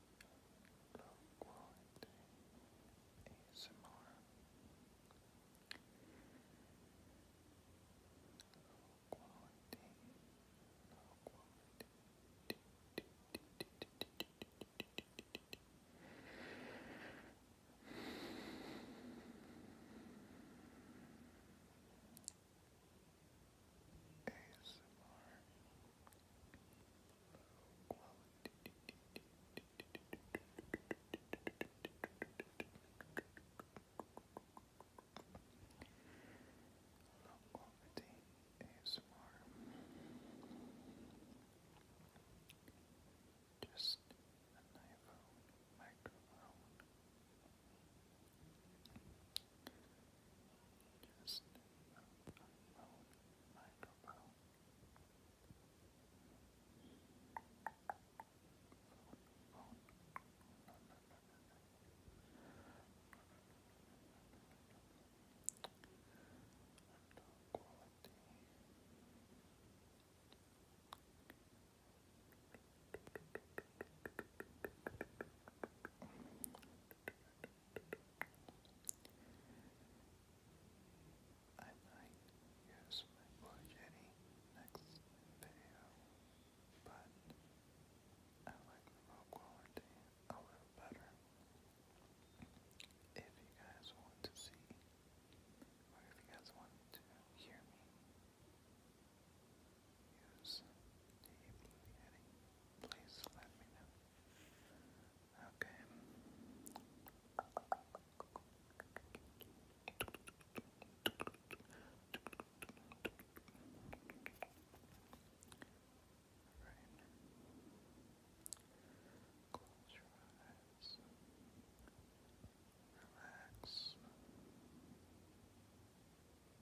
low quality ASMR. Low quality, low quality. ASMR quality ASMR. Just an microphone. Just a road microphone. Phone, quality. I might use my boy Jenny next video, but I like the raw quality a little better. If you guys want to see, or if you guys want to hear me, use the heading, please let me know. Okay. Right. Close your eyes. Relax. Relax.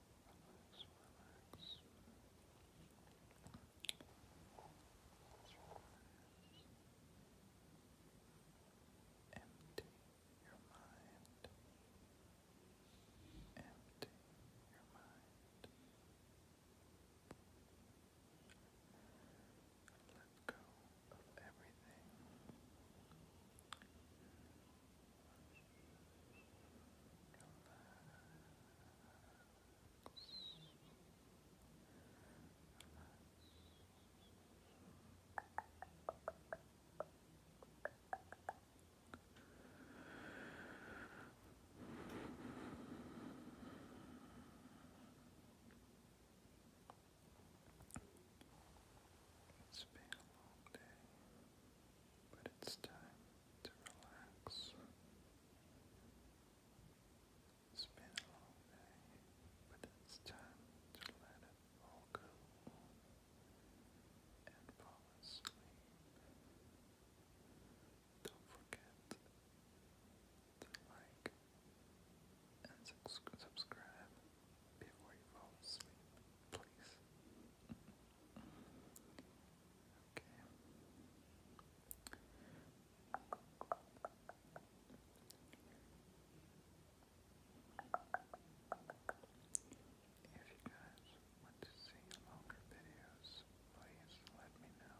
Empty your mind. Empty your mind. Let go of everything. It's been a long day but it's time to relax. It's been a long day, but it's time to let it all go and fall asleep. Don't forget to like and subscribe before you fall asleep, please. okay. If you guys want to see longer videos, please let me know.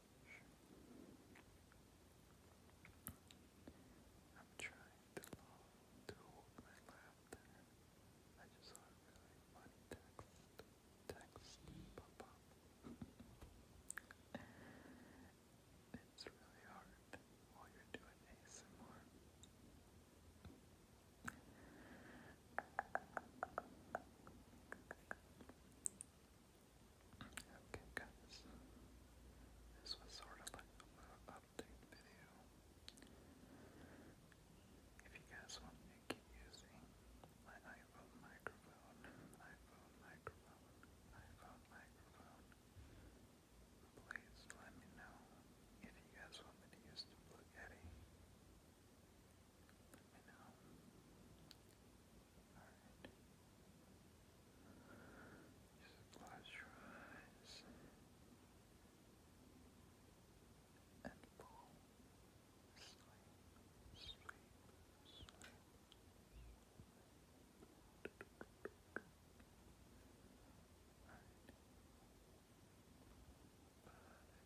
I'm trying too long to hold my laughter. I just saw a really funny text, text pop up. it's really hard while you're doing ASMR. Okay guys, this was sort of like a update video. If you guys want to keep using my iPhone microphone, iPhone microphone, iPhone microphone, please let me know if you guys want to use Blue Yeti. Let know. Alright. Just close your eyes and fall asleep, sleep, sleep. Alright.